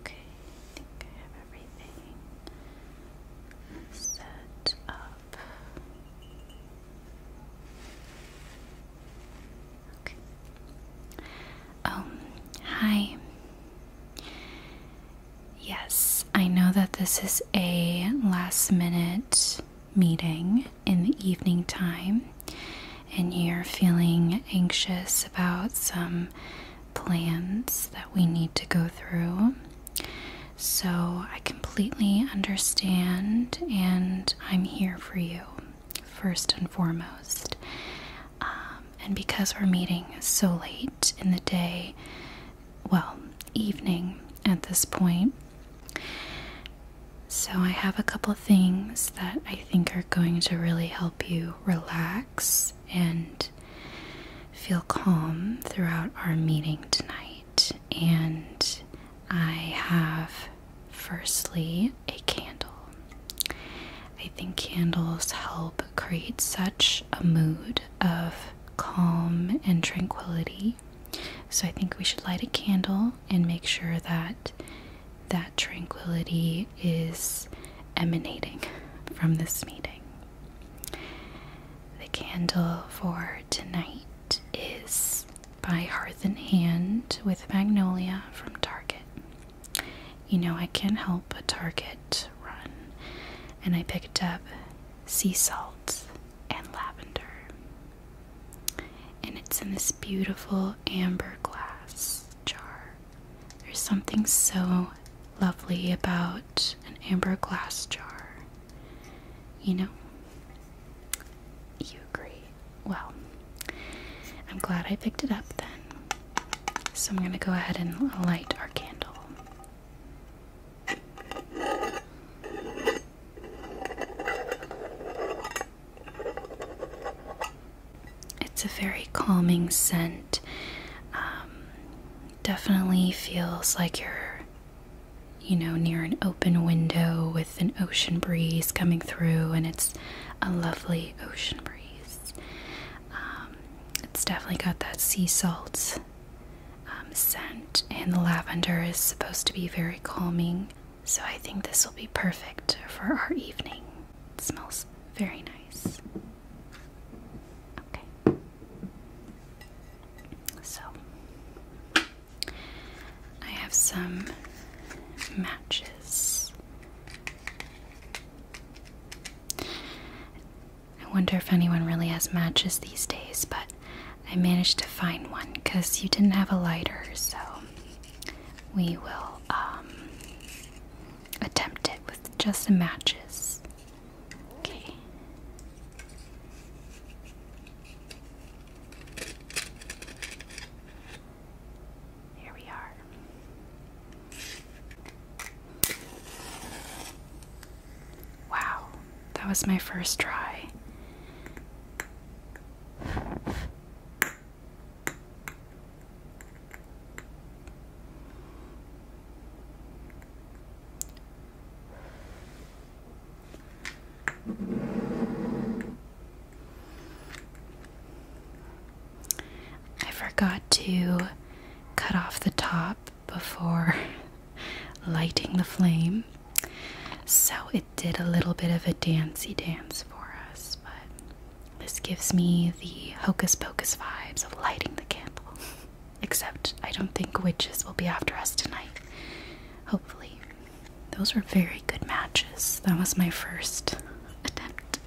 Okay, I think I have everything set up. Okay. Um, hi. Yes, I know that this is a last minute meeting in the evening time and you're feeling anxious about some plans that we need to go through. So I completely understand, and I'm here for you, first and foremost. Um, and because we're meeting so late in the day, well, evening at this point, so, I have a couple things that I think are going to really help you relax and feel calm throughout our meeting tonight. And I have, firstly, a candle. I think candles help create such a mood of calm and tranquility. So, I think we should light a candle and make sure that that tranquility is emanating from this meeting. The candle for tonight is by Hearth and Hand with Magnolia from Target. You know, I can't help a Target run, and I picked up sea salt and lavender. And it's in this beautiful amber glass jar. There's something so lovely about an amber glass jar. You know? You agree. Well, I'm glad I picked it up then. So I'm going to go ahead and light our candle. It's a very calming scent. Um, definitely feels like you're, you know, near an open window with an ocean breeze coming through, and it's a lovely ocean breeze. Um, it's definitely got that sea salt um, scent, and the lavender is supposed to be very calming. So I think this will be perfect for our evening. It smells very nice. Okay. So I have some matches. I wonder if anyone really has matches these days, but I managed to find one because you didn't have a lighter, so we will um, attempt it with just the matches. Okay. Here we are. Wow, that was my first try. I forgot to cut off the top before lighting the flame, so it did a little bit of a dancy dance for us, but this gives me the hocus pocus vibes of lighting the candle. Except I don't think witches will be after us tonight. Hopefully. Those were very good matches. That was my first attempt.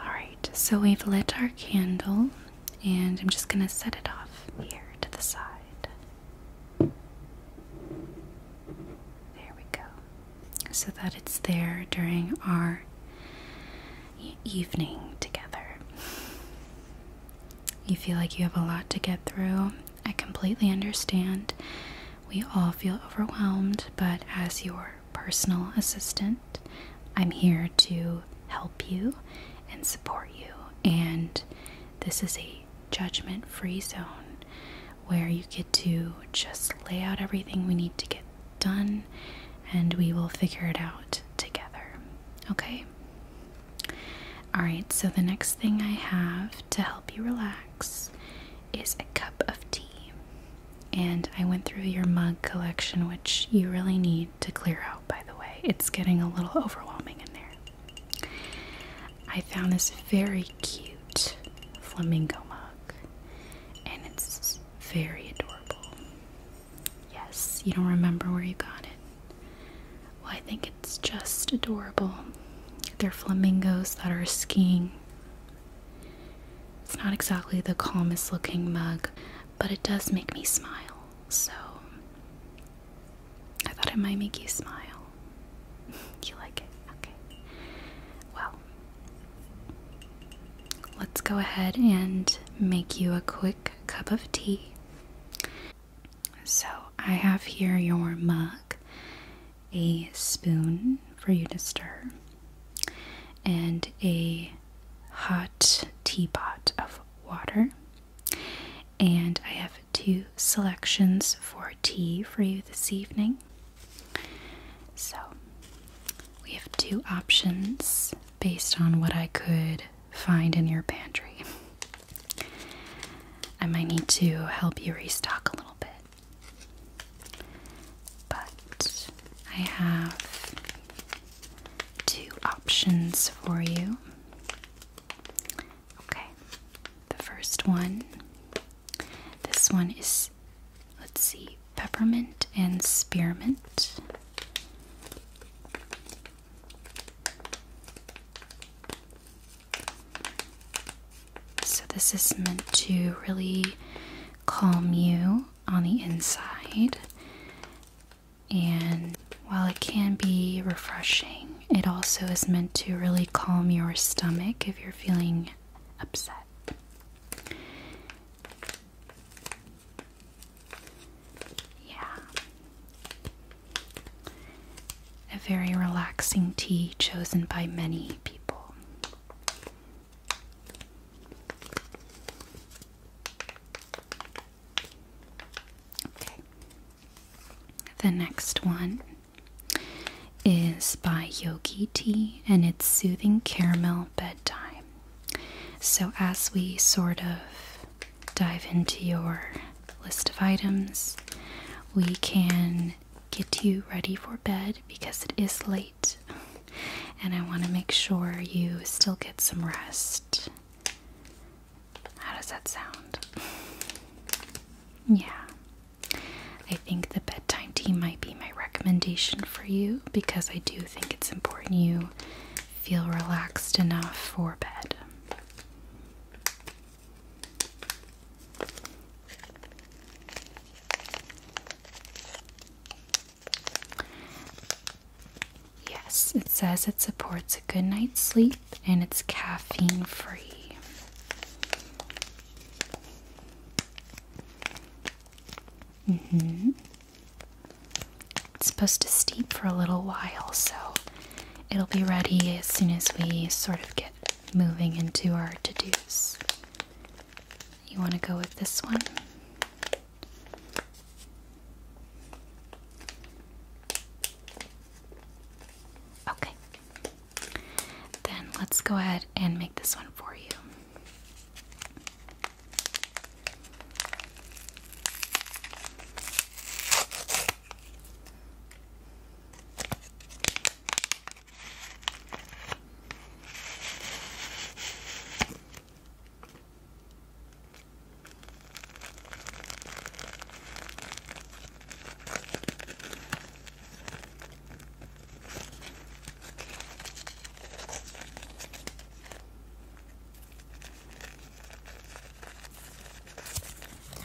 Alright, so we've lit our candle and I'm just gonna set it off here to the side. There we go. So that it's there during our evening together. You feel like you have a lot to get through. I completely understand. We all feel overwhelmed, but as your personal assistant, I'm here to help you and support you. And this is a judgment free zone where you get to just lay out everything we need to get done and we will figure it out together. Okay? Alright, so the next thing I have to help you relax is a cup of tea. And I went through your mug collection, which you really need to clear out, by the way. It's getting a little overwhelming in there. I found this very cute flamingo mug, and it's very adorable. Yes, you don't remember where you got it. Well, I think it's just adorable. They're flamingos that are skiing. It's not exactly the calmest looking mug, but it does make me smile, so I thought it might make you smile. you like it? Okay. Well, let's go ahead and make you a quick cup of tea. So, I have here your mug, a spoon for you to stir, and a hot teapot of water. And I have two selections for tea for you this evening. So, we have two options based on what I could find in your pantry. I might need to help you restock a little bit. But I have two options for you. Okay, the first one this one is, let's see, peppermint and spearmint. So, this is meant to really calm you on the inside, and while it can be refreshing, it also is meant to really calm your stomach if you're feeling upset. Yeah. A very relaxing tea chosen by many people. Okay. The next one is by Yogi Tea and it's Soothing Caramel Bedtime. So, as we sort of dive into your list of items, we can get you ready for bed because it is late and I want to make sure you still get some rest. How does that sound? Yeah. I think the bedtime tea might be my recommendation for you because I do think it's important you feel relaxed enough for bed. Yes, it says it supports a good night's sleep and it's caffeine free hmm. It's supposed to steep for a little while, so it'll be ready as soon as we sort of get moving into our to dos. You want to go with this one? Okay. Then let's go ahead and make this one for you.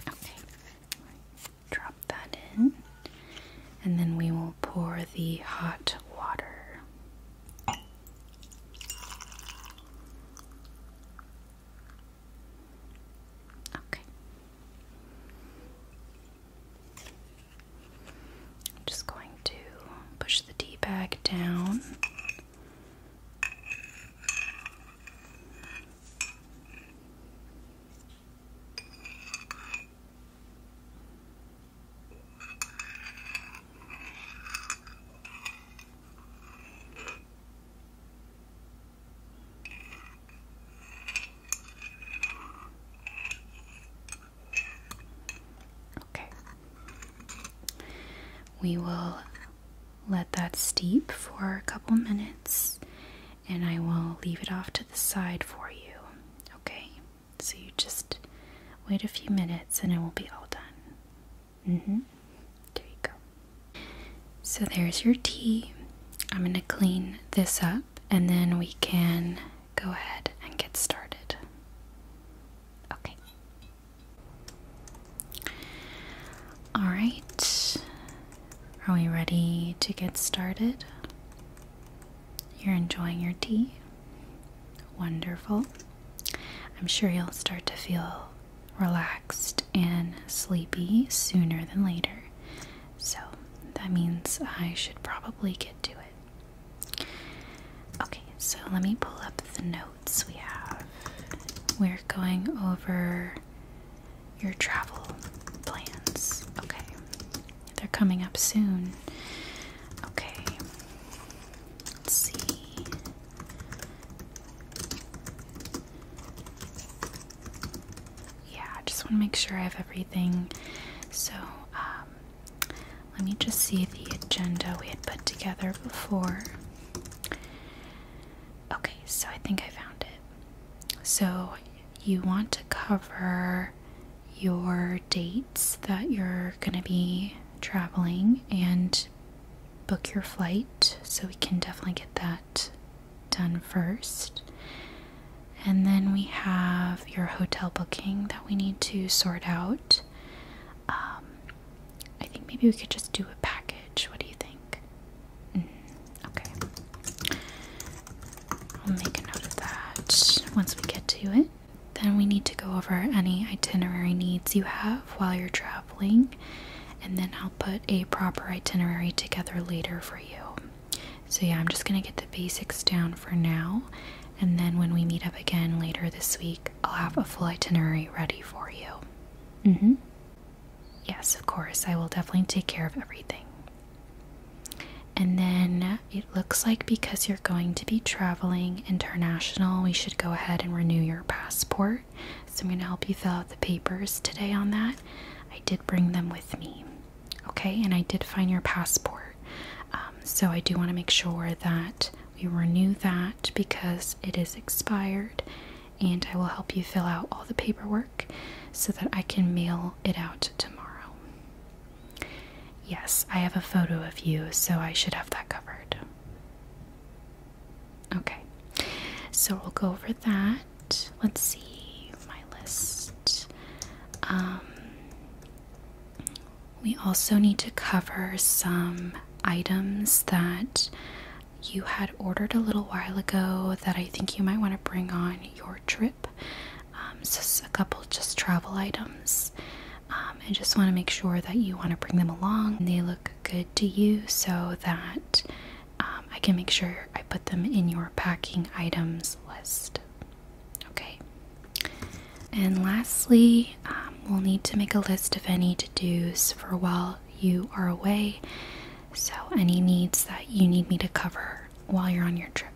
Okay, drop that in, and then we will pour the hot water. Okay, I'm just going to push the tea bag down. Okay. We will let that steep for a couple minutes and I will leave it off to the side for you. Okay? So you just wait a few minutes and it will be all done. hmm. There you go. So there's your tea. I'm going to clean this up and then we can go ahead and get started. Okay. All right. Are we ready to get started? You're enjoying your tea? Wonderful. I'm sure you'll start to feel relaxed and sleepy sooner than later so that means I should probably get to it. Okay, so let me pull up the notes we have. We're going over your travel plans. Okay, they're coming up soon. Okay, see yeah, I just want to make sure I have everything. So, um, let me just see the agenda we had put together before. Okay, so I think I found it. So, you want to cover your dates that you're going to be traveling and book your flight, so we can definitely get that done first. And then we have your hotel booking that we need to sort out. Um, I think maybe we could just do a package. What do you think? Mm, okay. I'll make a note of that once we get to it. Then we need to go over any itinerary needs you have while you're traveling, and then I'll put a proper itinerary together later for you. So, yeah, I'm just gonna get the basics down for now, and then when we meet up again later this week, I'll have a full itinerary ready for you. Mm hmm. Yes, of course, I will definitely take care of everything. And then it looks like because you're going to be traveling international, we should go ahead and renew your passport. So, I'm going to help you fill out the papers today on that. I did bring them with me. Okay, and I did find your passport. Um, so I do want to make sure that we renew that because it is expired, and I will help you fill out all the paperwork so that I can mail it out tomorrow. Yes, I have a photo of you, so I should have that covered. Okay, so we'll go over that let's see my list. Um, we also need to cover some items that you had ordered a little while ago that I think you might want to bring on your trip. Just um, a couple just travel items. and um, just want to make sure that you want to bring them along and they look good to you so that um, I can make sure I put them in your packing items list. Okay. And lastly, um, we'll need to make a list of any to dos for while you are away. So, any needs that you need me to cover while you're on your trip.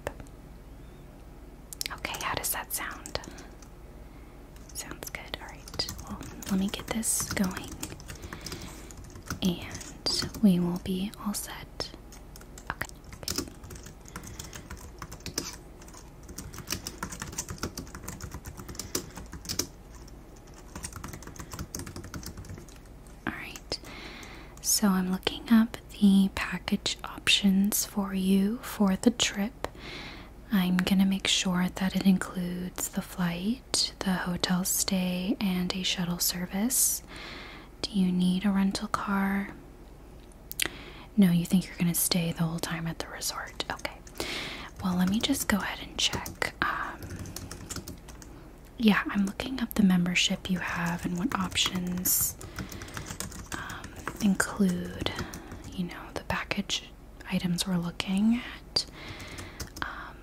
Okay, how does that sound? Sounds good. Alright, well, let me get this going. And we will be all set. Okay. Alright, so I'm looking up the package options for you for the trip. I'm gonna make sure that it includes the flight, the hotel stay, and a shuttle service. Do you need a rental car? No, you think you're going to stay the whole time at the resort. Okay. Well, let me just go ahead and check. Um, yeah, I'm looking up the membership you have and what options um, include, you know, the package items we're looking at. Um,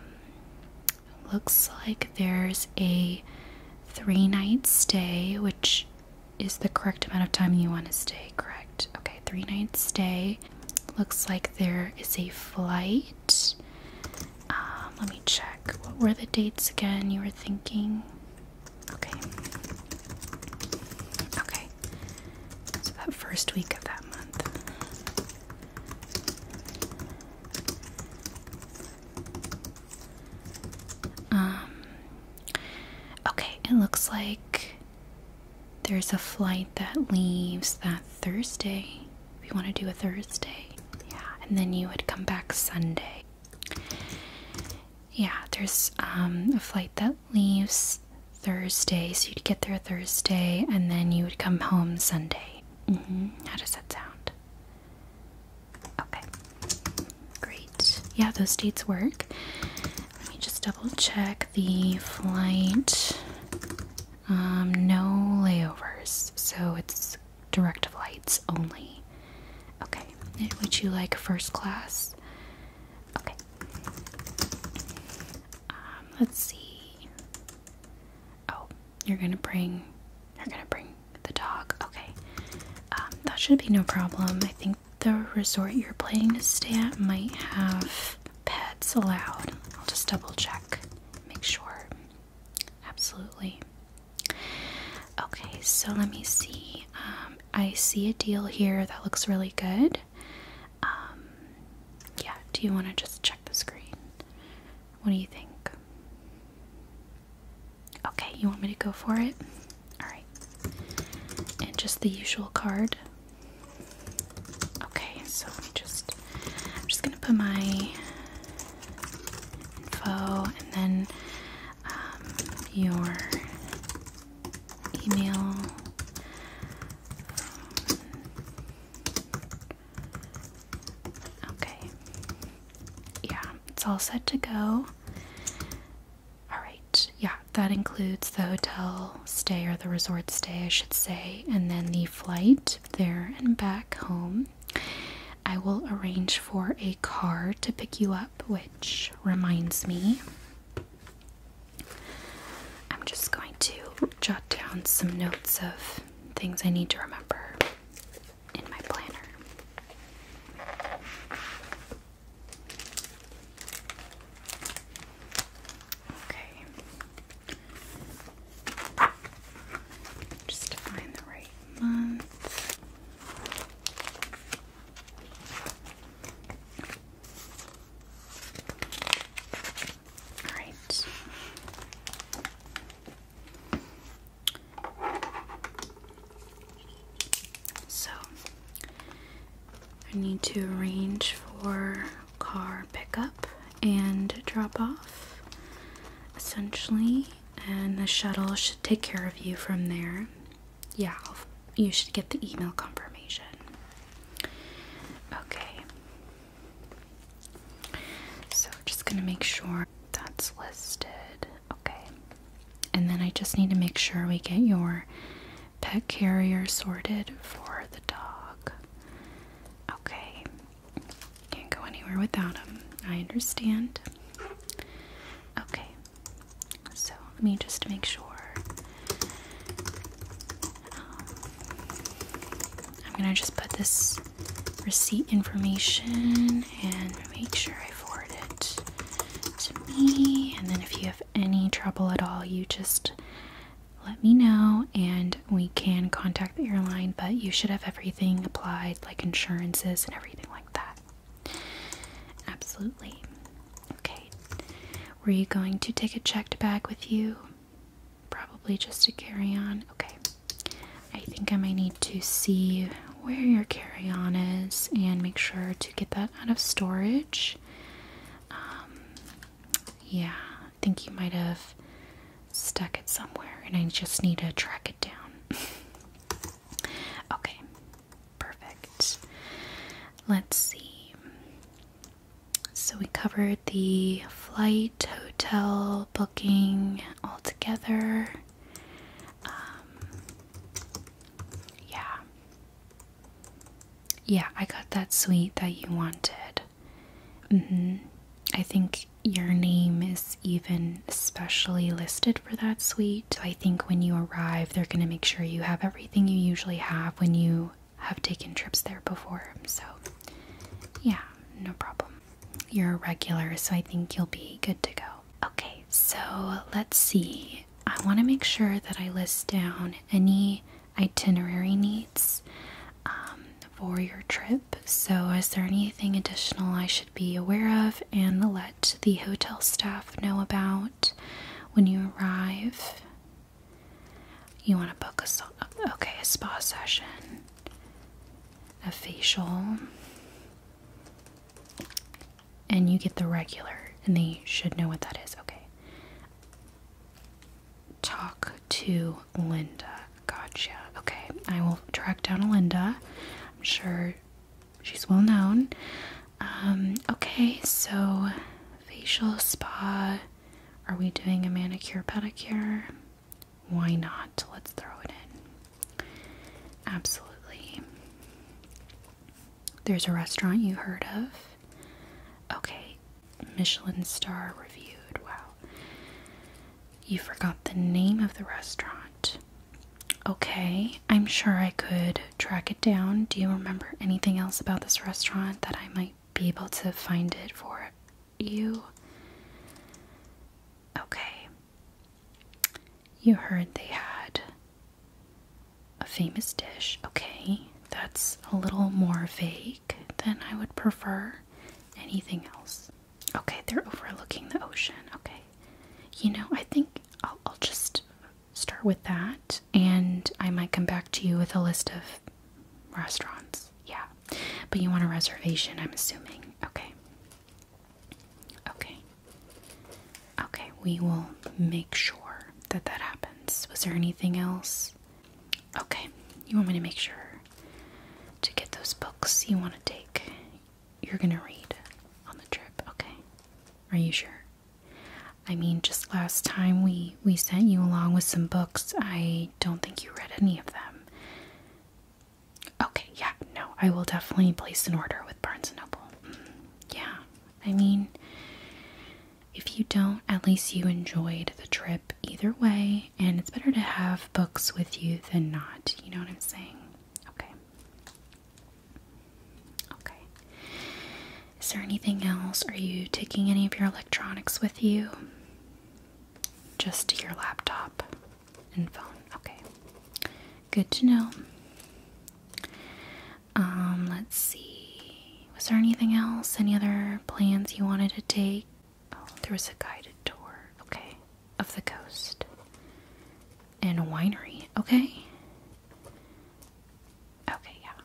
Looks like there's a three night stay, which is the correct amount of time you want to stay, correct? Okay, three night stay. Looks like there is a flight. Um, let me check. What were the dates again you were thinking? Okay. Okay. So that first week of that month. Um, okay, it looks like there's a flight that leaves that Thursday. If you want to do a Thursday, yeah, and then you would come back Sunday. Yeah, there's um, a flight that leaves Thursday, so you'd get there Thursday, and then you would come home Sunday. Mm-hmm. How does that sound? Okay. Great. Yeah, those dates work. Let me just double check the flight. Um, no layovers, so it's direct flights only. Okay. Would you like first class? Okay. Um, let's see. Oh, you're gonna bring you're gonna bring the dog. Okay. Um, that should be no problem. I think the resort you're planning to stay at might have pets allowed. I'll just double check, make sure. Absolutely. Okay, so let me see. Um, I see a deal here that looks really good. Um, yeah, do you want to just check the screen? What do you think? Okay, you want me to go for it? Alright. And just the usual card. Okay, so just I'm just gonna put my info and then um, your email. Okay. Yeah, it's all set to go. Alright, yeah, that includes the hotel stay or the resort stay, I should say, and then the flight there and back home. I will arrange for a car to pick you up, which reminds me. I'm just going to jot down some notes of things I need to remember in my planner. Okay. Just to find the right month. All right. So, I need to arrange for car pickup and drop off, essentially, and the shuttle should take care of you from there. Yeah, you should get the email confirmation. Okay. So, just going to make sure that's listed. Okay. And then I just need to make sure we get your pet carrier sorted for the dog. Okay. Can't go anywhere without him. I understand. Okay. So let me just make sure. Um, I'm gonna just put this receipt information and make sure I forward it to me. And then if you have any trouble at all, you just let me know and we can contact the airline, but you should have everything applied, like insurances and everything like that. Absolutely. Okay. Were you going to take a checked bag with you? Probably just to carry on. Okay. I think I might need to see where your carry on is and make sure to get that out of storage. Um, yeah, I think you might have stuck it somewhere and I just need to track it down. okay, perfect. Let's see. So we covered the flight, hotel, booking altogether. Um, yeah. Yeah, I got that suite that you wanted. Mm-hmm. I think your name is even specially listed for that suite. I think when you arrive, they're going to make sure you have everything you usually have when you have taken trips there before. So, yeah, no problem. You're a regular, so I think you'll be good to go. Okay, so let's see. I want to make sure that I list down any itinerary needs um, for your trip. So, is there anything additional I should be aware of and let the hotel staff know about when you arrive? You want to book a okay a spa session, a facial, and you get the regular, and they should know what that is. Okay. Talk to Linda. Gotcha. Okay, I will track down a Linda. I'm sure she's well known. Um, okay, so facial spa. Are we doing a manicure pedicure? Why not? Let's throw it in. Absolutely. There's a restaurant you heard of. Okay, Michelin star reviewed. Wow. You forgot the name of the restaurant. Okay, I'm sure I could track it down. Do you remember anything else about this restaurant that I might be able to find it for you? Okay, you heard they had a famous dish. Okay, that's a little more vague than I would prefer anything else. Okay, they're overlooking the ocean. Okay. You know, I think I'll, just start with that and I might come back to you with a list of restaurants. Yeah. But you want a reservation, I'm assuming. Okay. Okay. Okay, we will make sure that that happens. Was there anything else? Okay, you want me to make sure to get those books you want to take, you're going to read on the trip, okay? Are you sure? I mean, just last time we we sent you along with some books, I don't think you read any of them. Okay, yeah, no, I will definitely place an order with Barnes & Noble. Mm, yeah, I mean, if you don't, at least you enjoyed the trip either way, and it's better to have books with you than not, you know what I'm saying? Okay. Okay. Is there anything else? Are you taking any of your electronics with you? Just your laptop and phone. Okay. Good to know. Um, let's see. Was there anything else? Any other plans you wanted to take? Oh, there was a guided tour. Okay. Of the coast. And winery. Okay. Okay, yeah.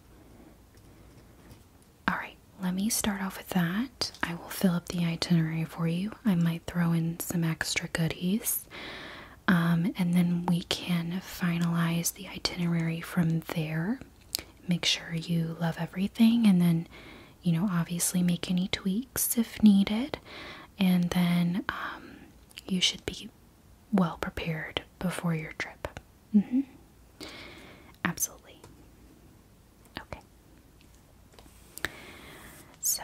Alright, let me start off with that. I will fill up the itinerary for you. I might throw in some extra goodies. Um, and then we can finalize the itinerary from there. Make sure you love everything, and then, you know, obviously make any tweaks if needed. And then um, you should be well prepared before your trip. Mm-hmm. Absolutely. Okay. So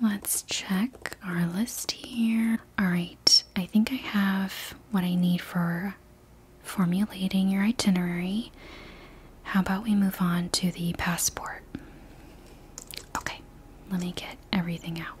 let's check our list here. All right, I think I have what I need for formulating your itinerary. How about we move on to the passport? Okay, let me get everything out.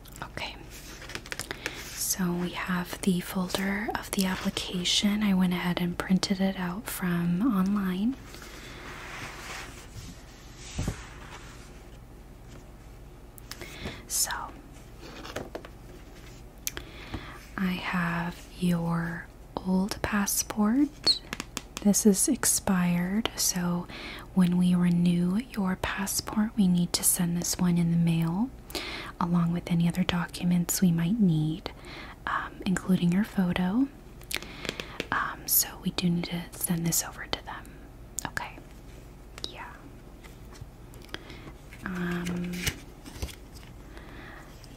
Okay, so we have the folder of the application. I went ahead and printed it out from online. So I have your old passport. This is expired, so when we renew your passport, we need to send this one in the mail along with any other documents we might need, um, including your photo. Um, so, we do need to send this over to them. Okay. Yeah. Um,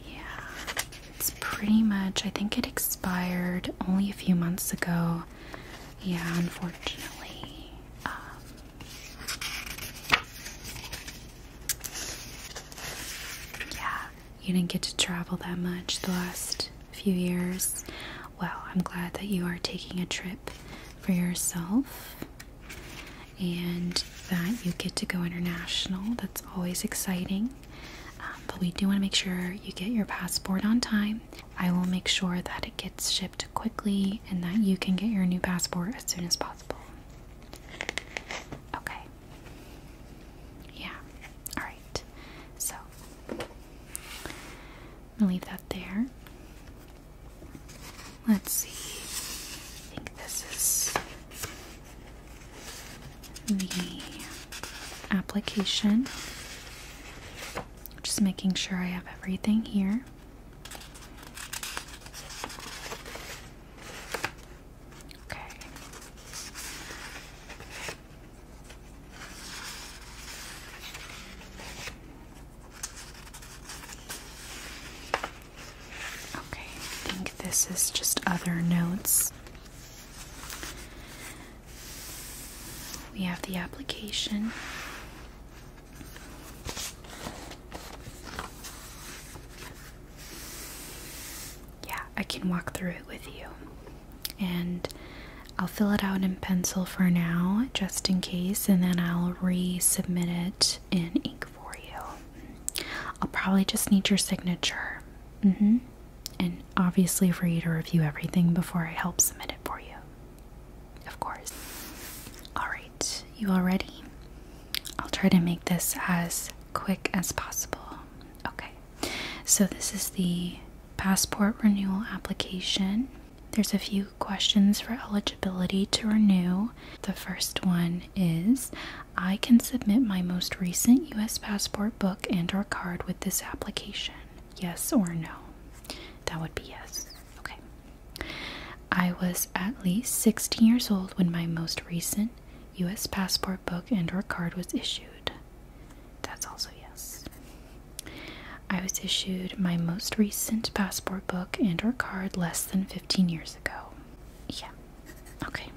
yeah. It's pretty much, I think it expired only a few months ago yeah, unfortunately. Um, yeah, you didn't get to travel that much the last few years. Well, I'm glad that you are taking a trip for yourself and that you get to go international. That's always exciting. Um, but we do want to make sure you get your passport on time I will make sure that it gets shipped quickly and that you can get your new passport as soon as possible. Okay. Yeah. Alright. So, I'm gonna leave that there. Let's see. I think this is the application. Just making sure I have everything here. Okay. Okay, I think this is just other notes. We have the application. Yeah, I can walk through it with you. And I'll fill it out in pencil for now, just in case, and then I'll resubmit it in ink for you. I'll probably just need your signature. Mm hmm. And obviously, for you to review everything before I help submit it for you. Of course. Alright, you all ready? I'll try to make this as quick as possible. Okay, so this is the passport renewal application. There's a few questions for eligibility to renew. The first one is I can submit my most recent US passport book and or card with this application. Yes or no? That would be yes. Okay. I was at least 16 years old when my most recent US passport book and or card was issued. That's also yes. I was issued my most recent passport book and or card less than 15 years ago. Yeah. Okay.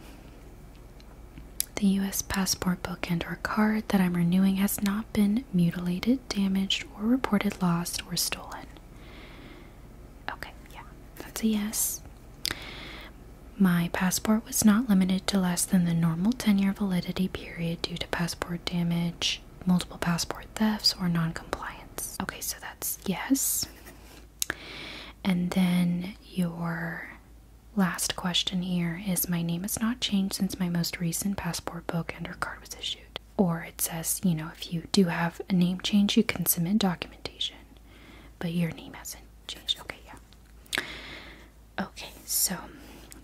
The US passport book and or card that I'm renewing has not been mutilated, damaged, or reported lost or stolen? Okay, yeah, that's a yes. My passport was not limited to less than the normal 10 year validity period due to passport damage, multiple passport thefts, or non compliance. Okay, so that's yes. And then your last question here is My name has not changed since my most recent passport book and or card was issued or it says, you know, if you do have a name change, you can submit documentation, but your name hasn't changed. Okay, yeah. Okay, so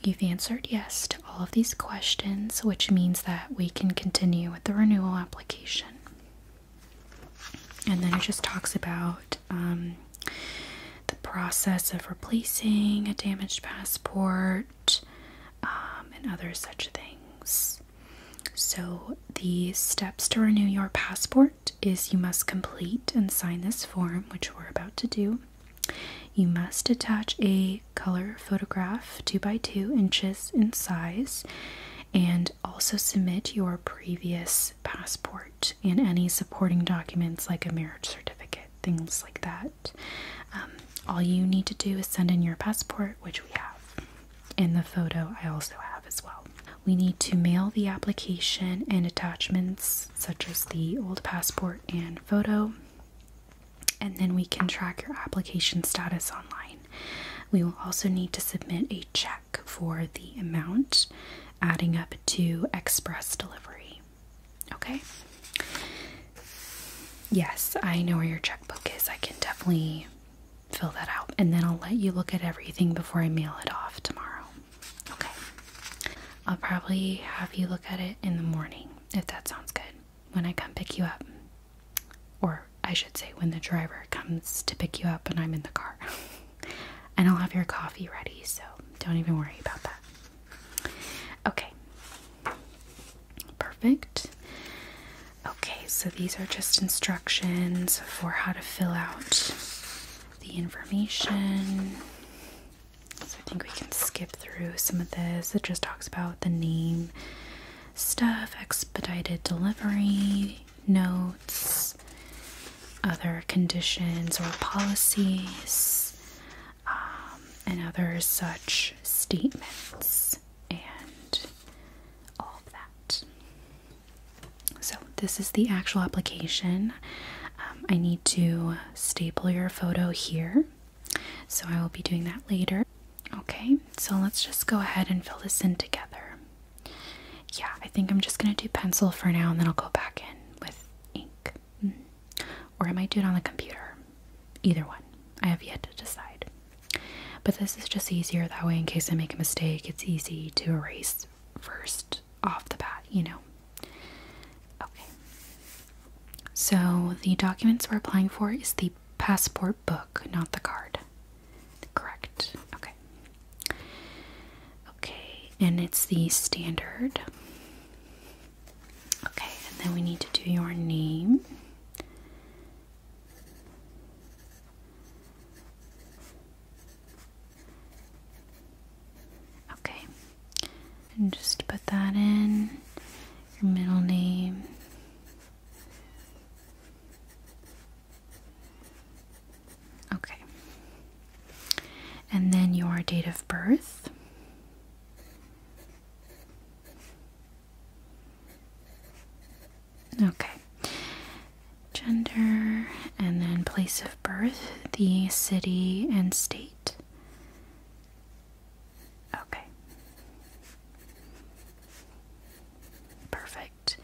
you've answered yes to all of these questions, which means that we can continue with the renewal application. And then it just talks about um, the process of replacing a damaged passport um, and other such things. So, the steps to renew your passport is you must complete and sign this form, which we're about to do. You must attach a color photograph 2 by 2 inches in size and also submit your previous passport and any supporting documents like a marriage certificate, things like that. Um, all you need to do is send in your passport, which we have. and the photo, I also have as well. We need to mail the application and attachments, such as the old passport and photo, and then we can track your application status online. We will also need to submit a check for the amount, adding up to express delivery. Okay? Yes, I know where your checkbook is. I can definitely fill that out. And then I'll let you look at everything before I mail it off tomorrow. Okay. I'll probably have you look at it in the morning, if that sounds good, when I come pick you up. Or I should say, when the driver comes to pick you up and I'm in the car. and I'll have your coffee ready, so don't even worry about that. Okay. Perfect. Okay, so these are just instructions for how to fill out the information. So I think we can skip through some of this. It just talks about the name stuff, expedited delivery, notes, other conditions or policies, um, and other such statements and all of that. So, this is the actual application. Um, I need to staple your photo here, so I will be doing that later. Okay, so let's just go ahead and fill this in together. Yeah, I think I'm just going to do pencil for now and then I'll go back in with ink. Mm-hmm or I might do it on the computer. Either one. I have yet to decide. But this is just easier that way in case I make a mistake, it's easy to erase first off the bat, you know. Okay. So the documents we're applying for is the passport book, not the card. Correct. Okay. Okay, and it's the standard Okay, and then we need to do your name. Okay, and just put that in your middle name. Okay, and then your date of birth. Okay. Gender and then place of birth, the city and state. Okay. Perfect.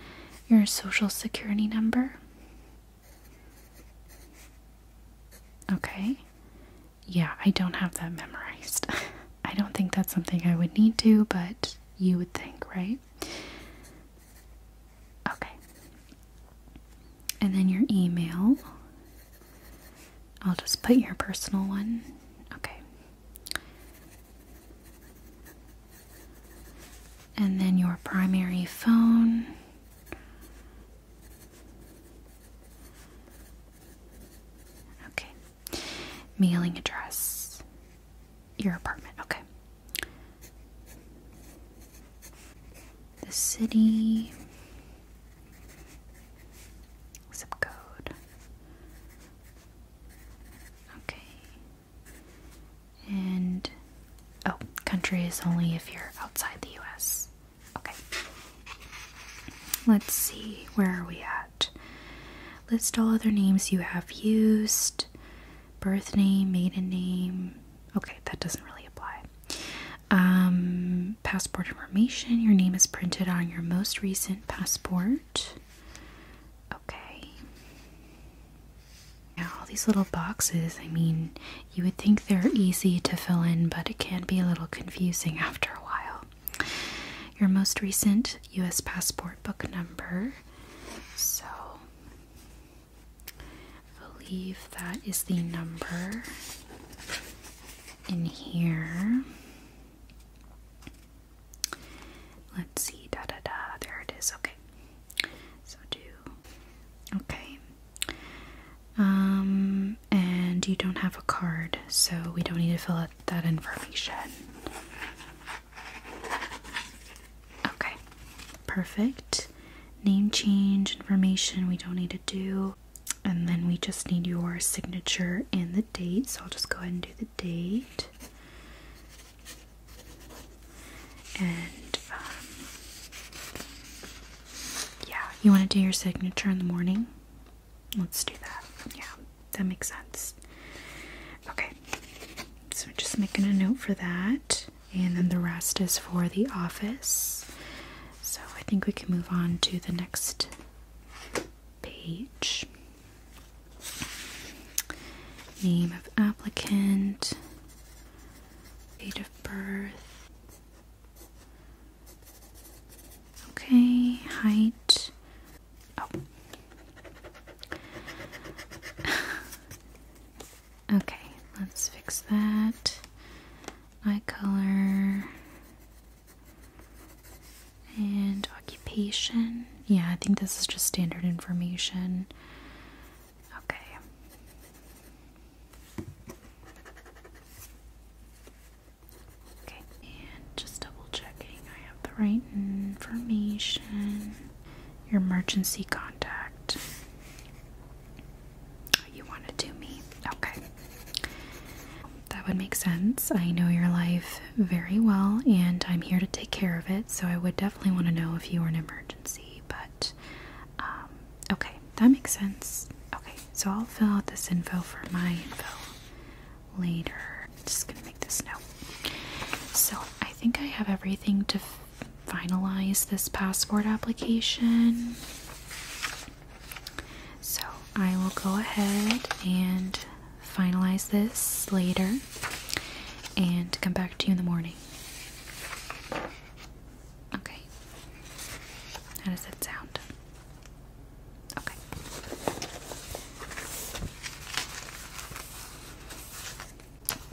Your social security number. Okay yeah, I don't have that memorized. I don't think that's something I would need to, but you would think, right? Okay. And then your email. I'll just put your personal one. Okay. And then your primary phone. Okay. Mailing address. Your apartment. Okay. The city. Zip code. Okay. And oh, country is only if you're outside the US. Okay. Let's see, where are we at? List all other names you have used birth name, maiden name. Okay, that doesn't really apply. Um, passport information. Your name is printed on your most recent passport. Okay. Now, all these little boxes, I mean, you would think they're easy to fill in, but it can be a little confusing after a while. Your most recent US passport book number. So I believe that is the number in here. Let's see, da da da, there it is, okay. So do, okay. Um, and you don't have a card, so we don't need to fill out that information. Okay, perfect. Name change information we don't need to do. And then we just need your signature and the date. So I'll just go ahead and do the date. And um, yeah, you want to do your signature in the morning? Let's do that. Yeah, that makes sense. Okay, so just making a note for that, and then the rest is for the office. So I think we can move on to the next page. Name of applicant, date of birth, Okay, height. Oh. okay, let's fix that. Eye color and occupation. Yeah, I think this is just standard information. Okay. Okay, and just double checking I have the right information. Your emergency contact. Oh, you want to do me? Okay. That would make sense. I know your life very well and I'm here to take care of it, so I would definitely want to know if you were an emergency, but um, okay, that makes sense. Okay, so I'll fill out this info for my info later. just gonna make this note. So I think I have everything to finalize this passport application. So I will go ahead and finalize this later and come back to you in the morning. Okay. How does that sound? Okay.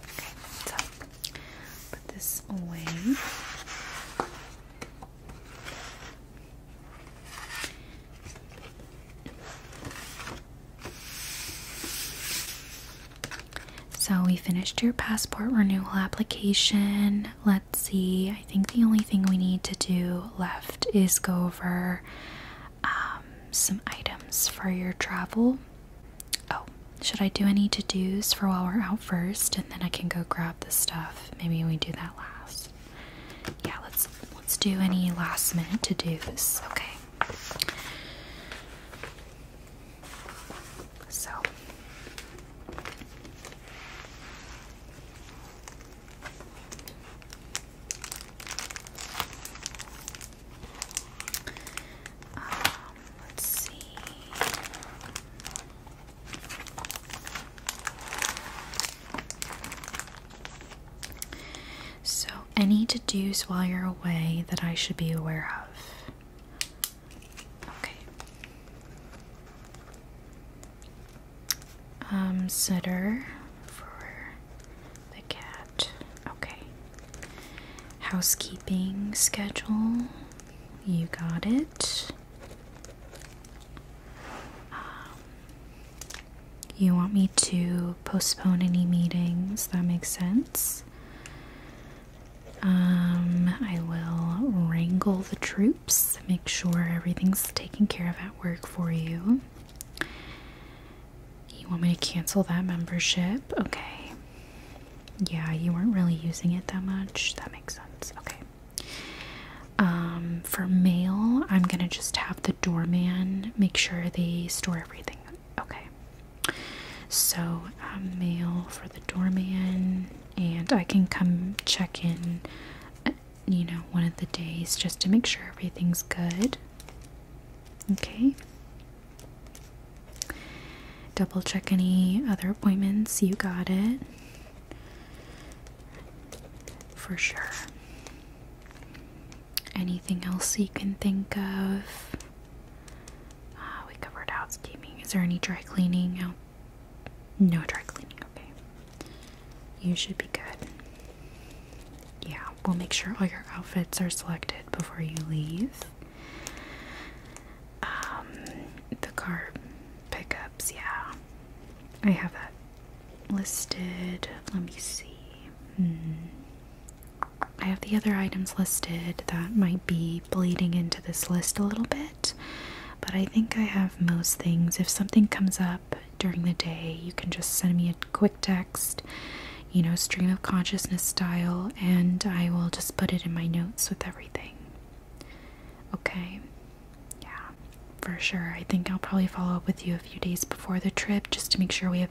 Okay, so put this away. So we finished your passport renewal application. let let's see. I think the only thing we need to do left is go over um, some items for your travel. Oh, should I do any to dos for while we're out first, and then I can go grab the stuff? Maybe we do that last. Yeah, let's let's do any last minute to dos. Okay. So. Um, let's see. So, any to dos while you're away that I should be aware of? Okay um, sitter for the cat. Okay. Housekeeping schedule. You got it. Um, you want me to postpone any meetings? That makes sense. Um, I will wrangle the troops make sure everything's taken care of at work for you. You want me to cancel that membership? Okay. Yeah, you weren't really using it that much. That makes sense. Okay. Um, for mail, I'm gonna just have the doorman make sure they store everything. Okay. So, um, mail for the doorman, and I can come check in you know, one of the days just to make sure everything's good. Okay. Double check any other appointments. You got it. For sure. Anything else you can think of? Ah, we covered housekeeping. Is there any dry cleaning out no dry cleaning, okay. You should be good. Yeah, we'll make sure all your outfits are selected before you leave. Um, the car pickups, yeah. I have that listed. Let me see. Hmm. I have the other items listed that might be bleeding into this list a little bit, but I think I have most things. If something comes up, during the day. You can just send me a quick text, you know, stream of consciousness style, and I will just put it in my notes with everything. Okay. Yeah, for sure. I think I'll probably follow up with you a few days before the trip just to make sure we have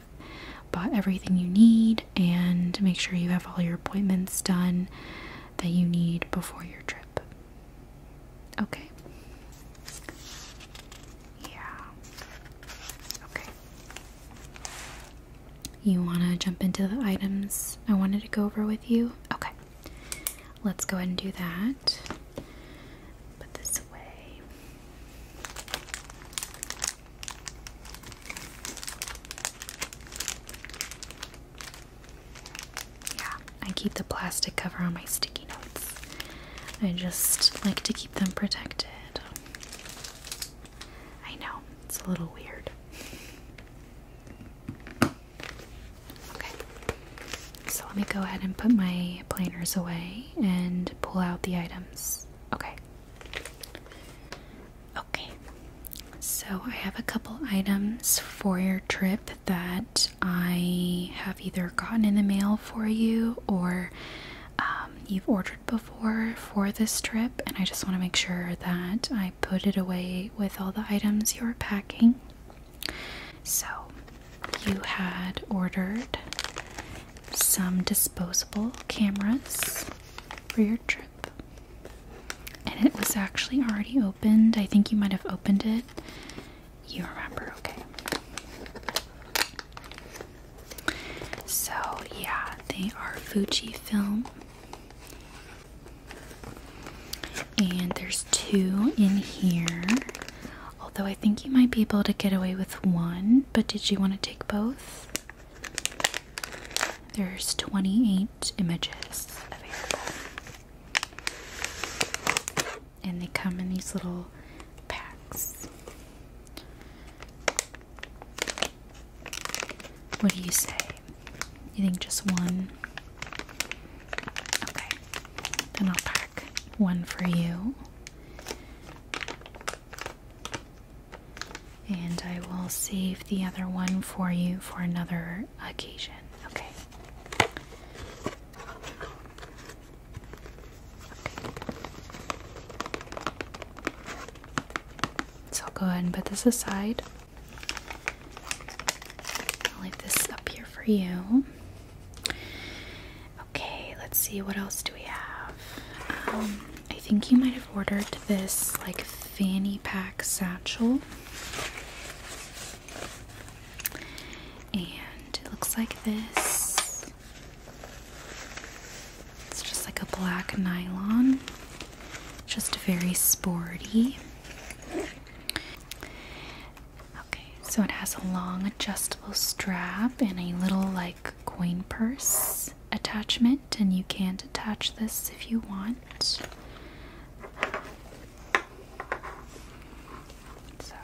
bought everything you need and make sure you have all your appointments done that you need before your trip. Okay. Yeah. Okay. You want to jump into the items I wanted to go over with you? Okay. Let's go ahead and do that. Put this away. Yeah, I keep the plastic cover on my sticky notes. I just like to keep them protected. I know, it's a little weird. Okay, so let me go ahead and put my planners away and pull out the items. Okay. Okay, so I have a couple items for your trip that I have either gotten in the mail for you or um, you've ordered before for this trip, and I just want to make sure that I put it away with all the items you're packing. So, you had ordered some disposable cameras for your trip. And it was actually already opened. I think you might have opened it you remember, okay? So, yeah, they are Fujifilm. And there's two in here. Although I think you might be able to get away with one, but did you want to take both? There's 28 images available and they come in these little packs. What do you say? You think just one? Okay, then I'll pack one for you. And I will save the other one for you for another occasion. Okay. So I'll go ahead and put this aside. I'll leave this up here for you. Okay, let's see what else do we have. Um, I think you might have ordered this like fanny pack satchel. And it looks like this. It's just like a black nylon, just very sporty. Okay, so it has a long adjustable strap and a little like coin purse attachment, and you can attach this if you want. So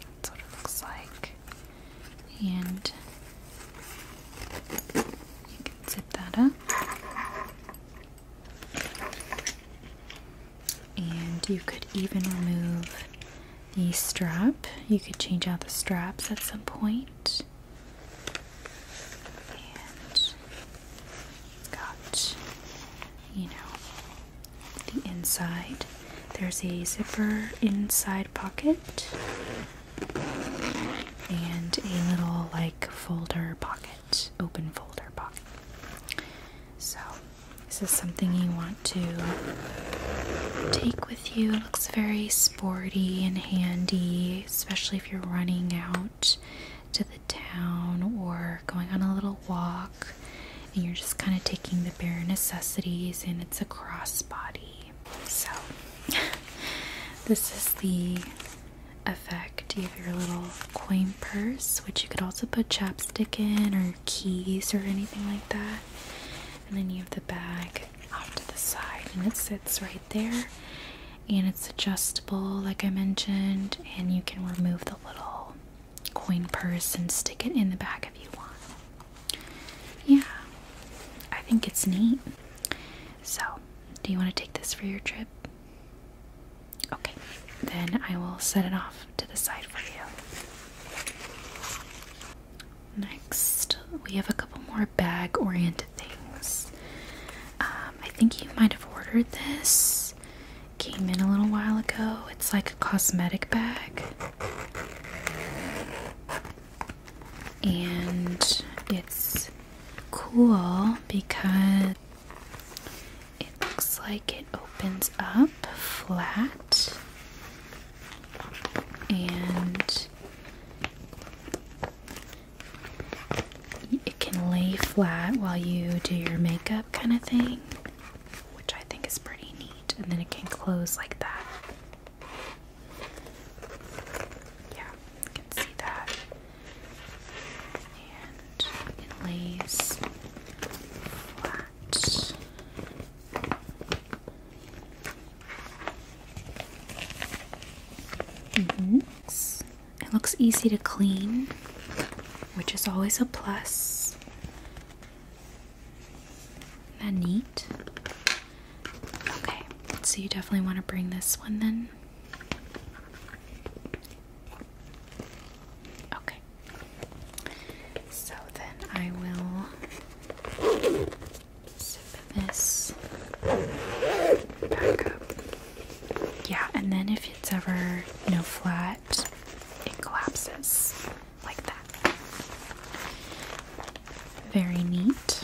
that's what it looks like. And you can zip that up. And you could even remove the strap. You could change out the straps at some point. And got, you know, the inside. There's a zipper inside pocket and a little like folder pocket, open folder pocket. So, this is something you want to take with you. It looks very sporty and handy, especially if you're running out to the town or going on a little walk and you're just kind of taking the bare necessities and it's a crossbody so this is the effect you have your little coin purse which you could also put chapstick in or keys or anything like that and then you have the bag off to the side and it sits right there and it's adjustable like i mentioned and you can remove the little coin purse and stick it in the bag if you want. Yeah, I think it's neat. So, do you want to take this for your trip? Okay, then I will set it off to the side for you. Next, we have a couple more bag oriented things. Um, I think you might have ordered this came in a little while ago. It's like a cosmetic bag. And it's cool because it looks like it opens up flat and it can lay flat while you do your makeup kind of thing which I think is pretty neat. And then it can close like that. Yeah, you can see that. And it lays flat. Mm-hmm. It looks easy to clean, which is always a plus is that neat? Okay, so you definitely want to bring this one then. Okay. So then I will sip this back up. Yeah, and then if it's ever, you know, flat it collapses like that. Very neat.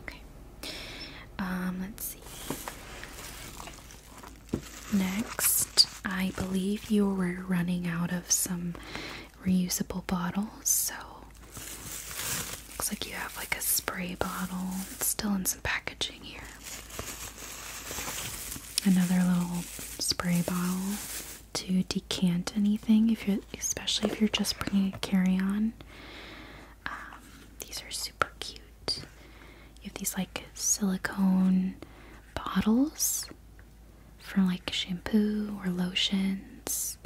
Okay. Um, let's see. Next, I believe you were running out of some reusable bottles, so looks like you have like a spray bottle. still in some packaging here. Another little spray bottle to decant anything, if you especially if you're just bringing a carry-on. Um, these are super cute. You have these like silicone bottles for like shampoo or lotions,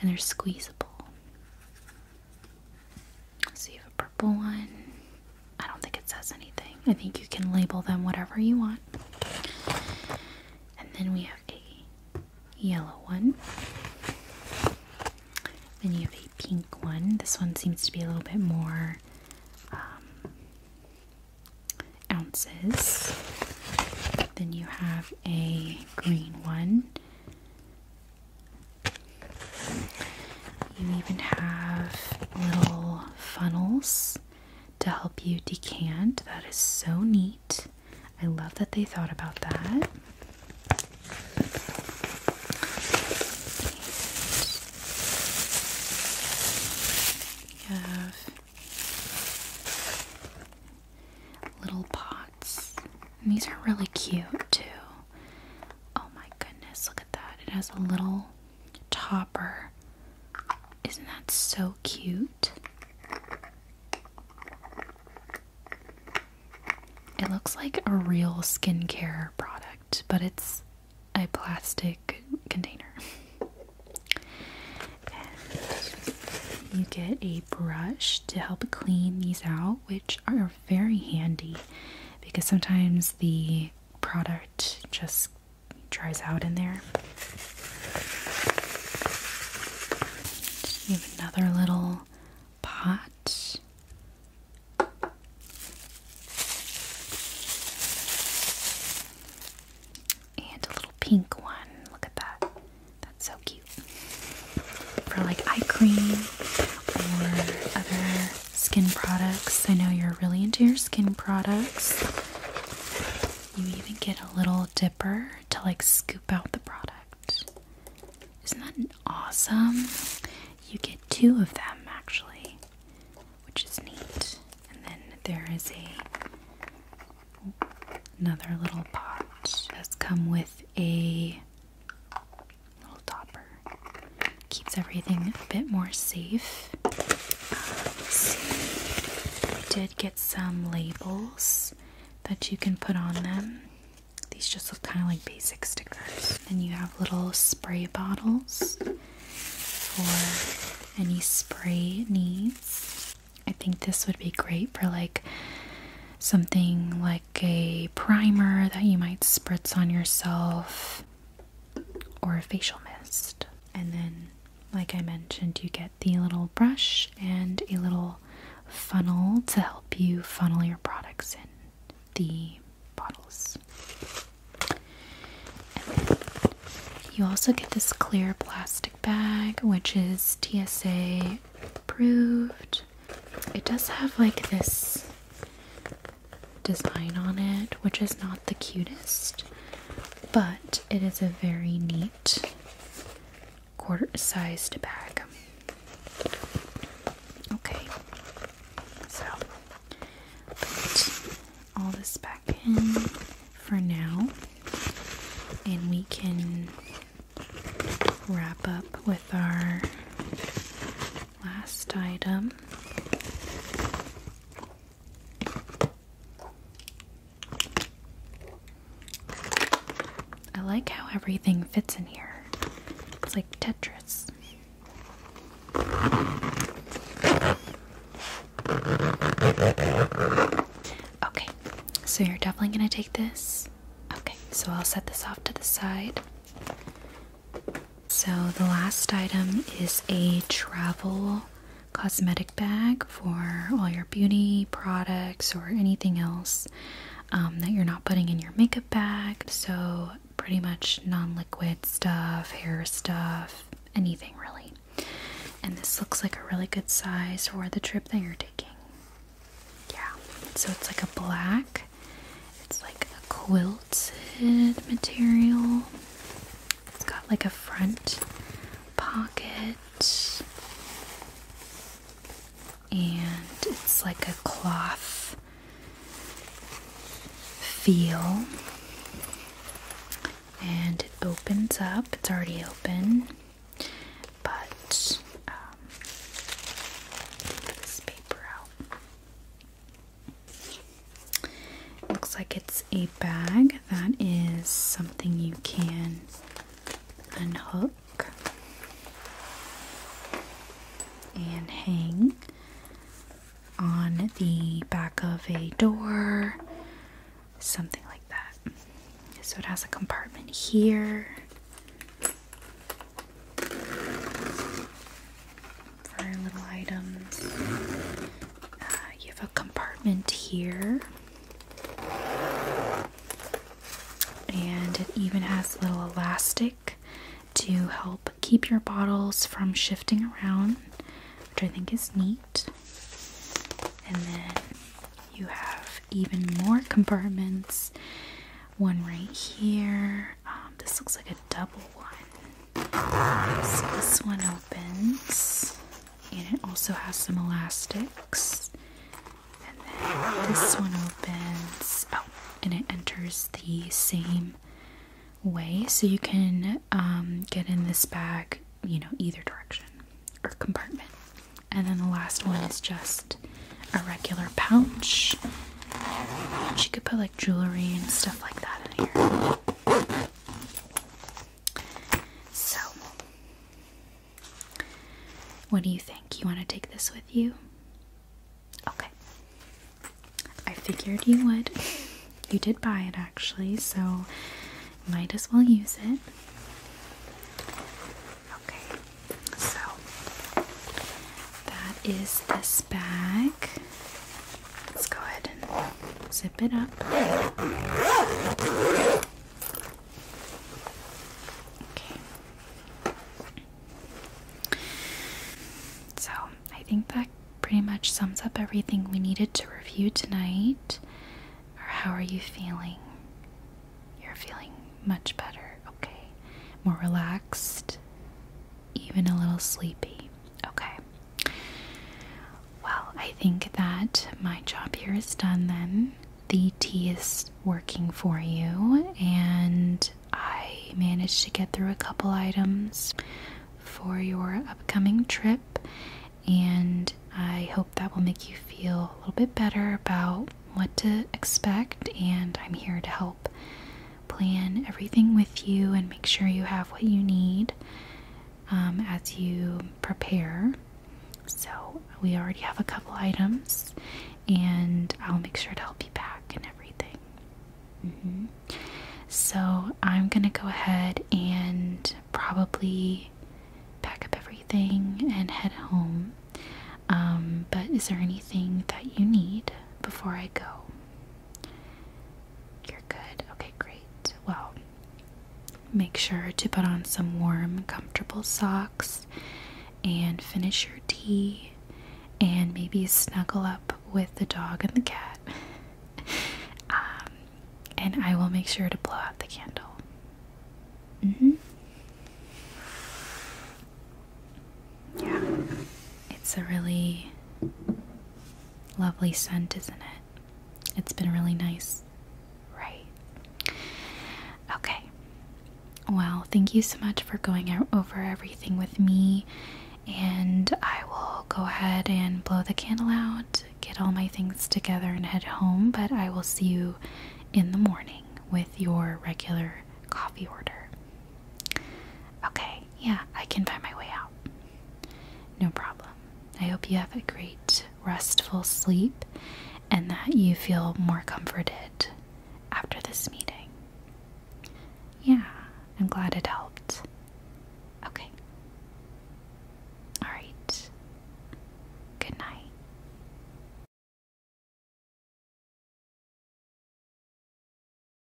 and they're squeezable. So you have a purple one. I don't think it says anything. I think you can label them whatever you want. And then we have a yellow one. Then you have a pink one. This one seems to be a little bit more um, ounces. Then you have a green one. You even have little funnels to help you decant. That is so neat. I love that they thought about that. You have little pots. And these are really cute too. Oh my goodness, look at that. It has a little topper. Isn't that so cute? It looks like a real skincare product, but it's a plastic container. you get a brush to help clean these out, which are very handy because sometimes the product just dries out in there. You have another little pot. And a little pink one. Look at that. That's so cute. For like eye cream or other skin products. I know you're really into your skin products. You even get a little dipper to like scoop out the product. Isn't that awesome? You get two of them actually, which is neat. And then there is a another little pot that's come with a little topper. Keeps everything a bit more safe. I uh, did get some labels that you can put on them. These just look kind of like basic stickers. And you have little spray bottles for any spray needs. I think this would be great for like something like a primer that you might spritz on yourself or a facial mist. And then, like I mentioned, you get the little brush and a little funnel to help you funnel your products in the bottles. you also get this clear plastic bag, which is TSA approved. It does have like this design on it, which is not the cutest, but it is a very neat quarter sized bag. Okay, so put all this back in for now, and we can wrap up with our last item. I like how everything fits in here. It's like Tetris. Okay, so you're definitely going to take this. Okay, so I'll set this off to the side. So, the last item is a travel cosmetic bag for all your beauty products or anything else um, that you're not putting in your makeup bag. So, pretty much non liquid stuff, hair stuff, anything really. And this looks like a really good size for the trip that you're taking. Yeah, so it's like a black it's like a quilted material. It's got like a front pocket. And it's like a cloth feel. And it opens up. It's already open. But um, this paper out looks like it's a bag that is something you can unhook and hang on the back of a door, something like that. So it has a compartment here for little items. Uh, you have a compartment here, and it even has little elastic to help keep your bottles from shifting around, which I think is neat. And then you have even more compartments one right here, um, this looks like a double one. this one opens, and it also has some elastics. And then this one opens, oh, and it enters the same way. So you can um, get in this bag, you know, either direction or compartment. And then the last one is just a regular pouch she could put like jewelry and stuff like that in here. So, what do you think? You want to take this with you? Okay. I figured you would. You did buy it actually, so might as well use it. Okay, so that is this bag. Let's go ahead and zip it up. Okay. So, I think that pretty much sums up everything we needed to review tonight. Or how are you feeling? You're feeling much better, okay? More relaxed, even a little sleepy. Okay. Well, I think that my job here is done then. The tea is working for you, and I managed to get through a couple items for your upcoming trip, and I hope that will make you feel a little bit better about what to expect. And I'm here to help plan everything with you and make sure you have what you need um, as you prepare. So, we already have a couple items, and I'll make sure to help you pack and everything. Mm-hmm. So, I'm gonna go ahead and probably pack up everything and head home. Um, but is there anything that you need before I go? You're good. Okay, great. Well, make sure to put on some warm, comfortable socks and finish your tea and maybe snuggle up with the dog and the cat. um, and I will make sure to blow out the candle. hmm. Yeah, it's a really lovely scent, isn't it? It's been really nice, right? Okay, well, thank you so much for going over everything with me, and I will go ahead and blow the candle out, get all my things together, and head home. But I will see you in the morning with your regular coffee order. Okay, yeah, I can find my way out. No problem. I hope you have a great, restful sleep and that you feel more comforted after this meeting. Yeah, I'm glad it helped. Okay. Alright. Good night.